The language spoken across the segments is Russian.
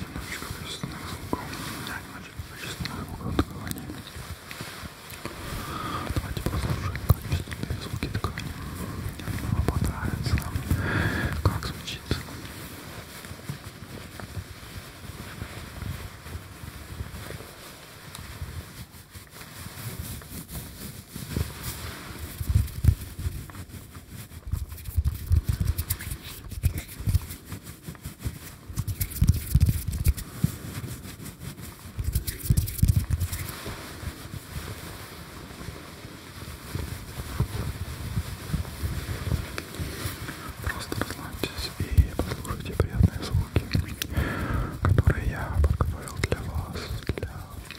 Немножечко пресного лука. Немножечко пресного лука откования. Давайте послушаем качественные звуки ткани. Вам понравится, как звучит. Ой, Просто расслабьтесь и послушайте приятные звуки, которые я подготовил для вас, для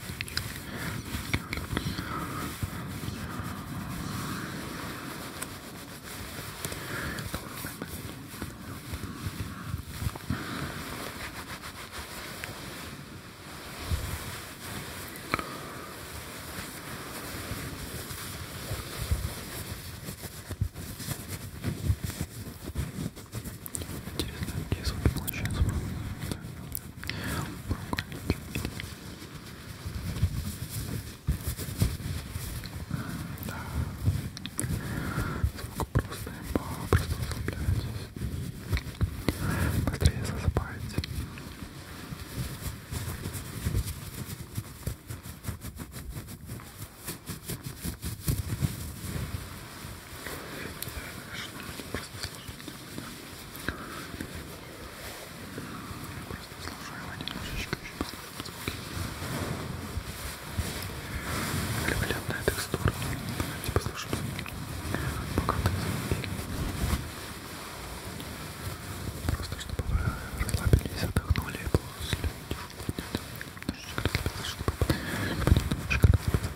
Интересно, где звуки получаются? Да. Звук просто имба, просто расслабляйтесь. Быстрее засыпайте. Просто сложно Просто слушаю один немножечко очень послушаем звуки. Великолепная текстура. Давайте послушаем пока так звуки. Просто чтобы вы расслабились, отдохнули и после немножечко расслабились, чтобы немножечко расслабиться.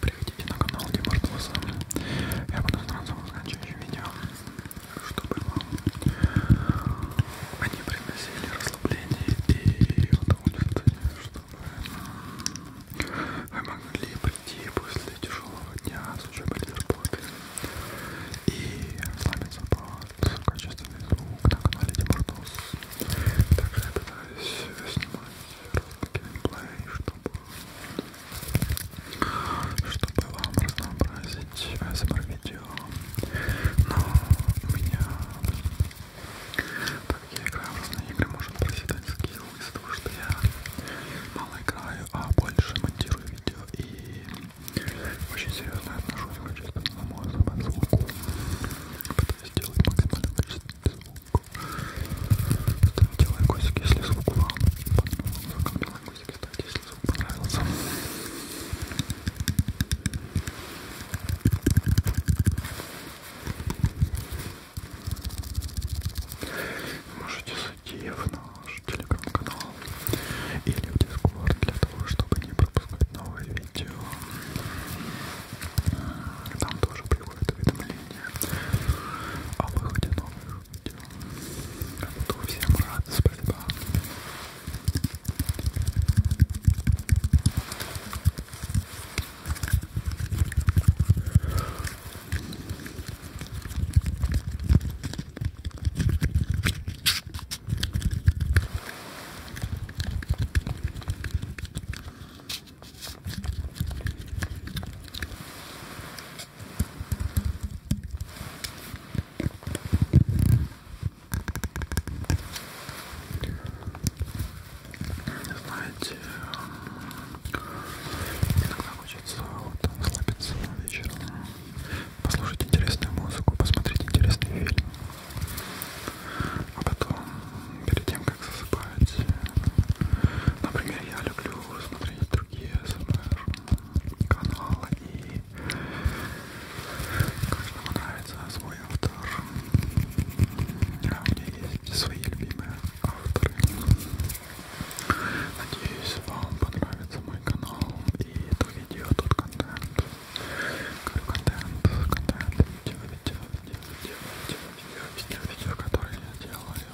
Приходите на канал Димаш Пласа. Я буду сразу заканчивать видео, чтобы вам они приносили расслабление и удовольствие, чтобы вы могли прийти после тяжелого дня с учебы или работы и сломиться под качественный звук на канале Димаш Также я пытаюсь снимать русский геймплей, чтобы чтобы вам разнообразить ASMR видео. Но у меня, так я играю в разные игры, может проседать скилл из-за того, что я мало играю, а больше монтирую видео и очень серьезно отношусь к чистому, на мой звуку. Пытаюсь сделать максимальное количество Ставим делай косик, если звук вам понравился. Косик ставьте, если звук понравился. Можете зайти в наш телеграм-канал или в дискорд для того, чтобы не пропускать новые видео. И там тоже приходит уведомление о выходе а новых видео. Я буду всем рад, спасибо. Знаете, иногда хочется вот, расслабиться вечером, послушать интересную музыку, посмотреть интересный фильм. А потом, перед тем, как засыпать, например, я люблю смотреть другие СМР-каналы, и каждому нравится свой автор. А у меня есть свои любимые авторы. Надеюсь, вам понравится мой канал и то видео, тот контент. Говорю, контент, контент, видео, видео, видео, видео, видео, видео, видео, которые я делаю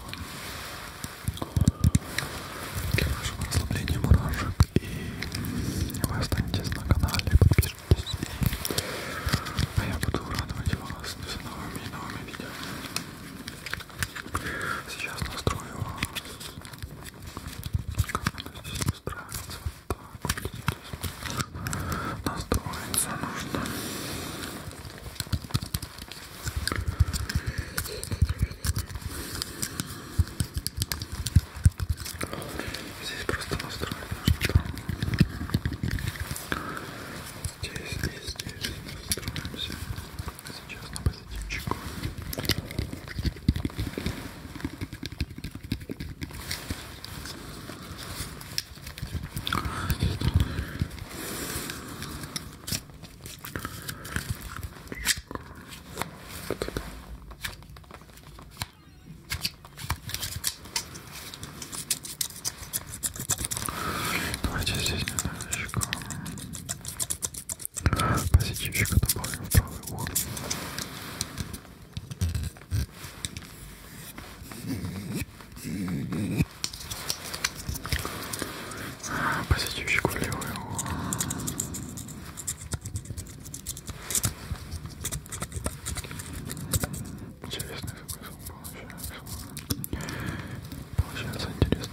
для вашего расслабления мурашек. И вы останетесь на канале, подпишитесь. А я буду радовать вас с новыми и новыми видео. Сейчас настрою вас. Как она здесь устраивается? так вот здесь настроиться нужно. Здесь просто настроить нужно там. Здесь, здесь, здесь настроимся. Сейчас на позитивчику. Давайте здесь немножечко позитивчика добавим в правый угол. Посетивщик влево его. Интересный смысл получается. Получается интересно.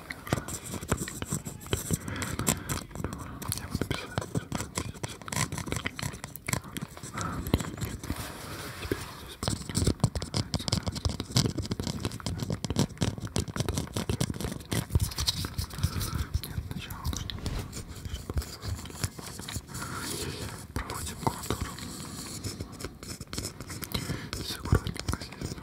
Проводим контур. Все аккуратненько здесь.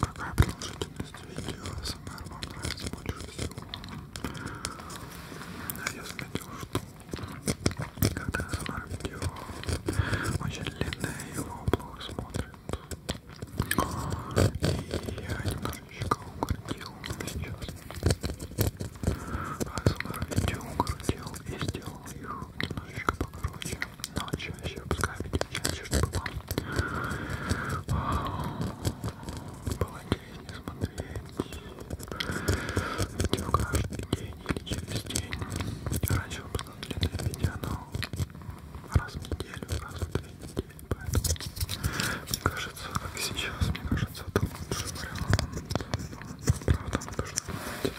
Какая продолжительность видео СМР вам нравится больше всего? Я заметил, что когда СМР видео очень длинное, его плохо смотрят. И я немного Щеколка летела на сейчас. Асмар видео крутил и сделал их немножечко покороче. Но чаще, пускай видит чаще, чтобы вам было интереснее смотреть. Видео каждый день или через день. Раньше выпускал длинные видео, но раз в неделю, раз в две недели день, поэтому мне кажется, как сейчас, мне кажется, это лучший вариант. Но, правда, надо же думать. Ой,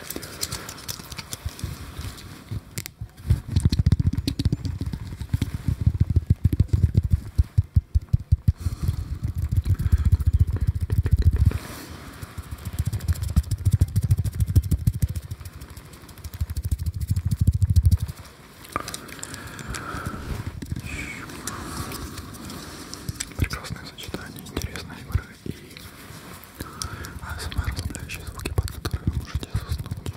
Прекрасное сочетание интересной игры и самые расслабляющие звуки, под которые вы можете заснуть.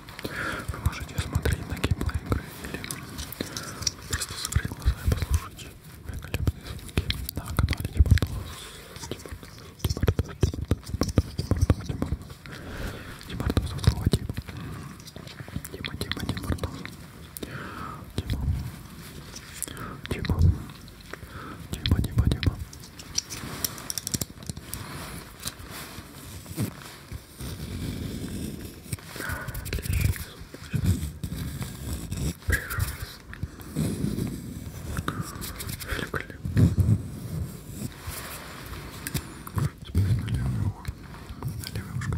Вы можете смотреть на геймплей игры или просто закрыть глаза и послушать великолепные звуки на канале Димардос. Димардос, Димардос, Димардос, Димардос, Димардос, Димардос, Димардос, Тима, Тима, Тима, Артур. Тима. Тима. Тима, Тима, Тима. Прекрасно. Великолепно. Теперь на левое ухо. На левое ушко.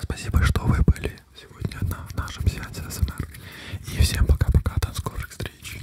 Спасибо, что вы были сегодня на нашем сеансе СМР. И всем пока-пока, до скорых встреч.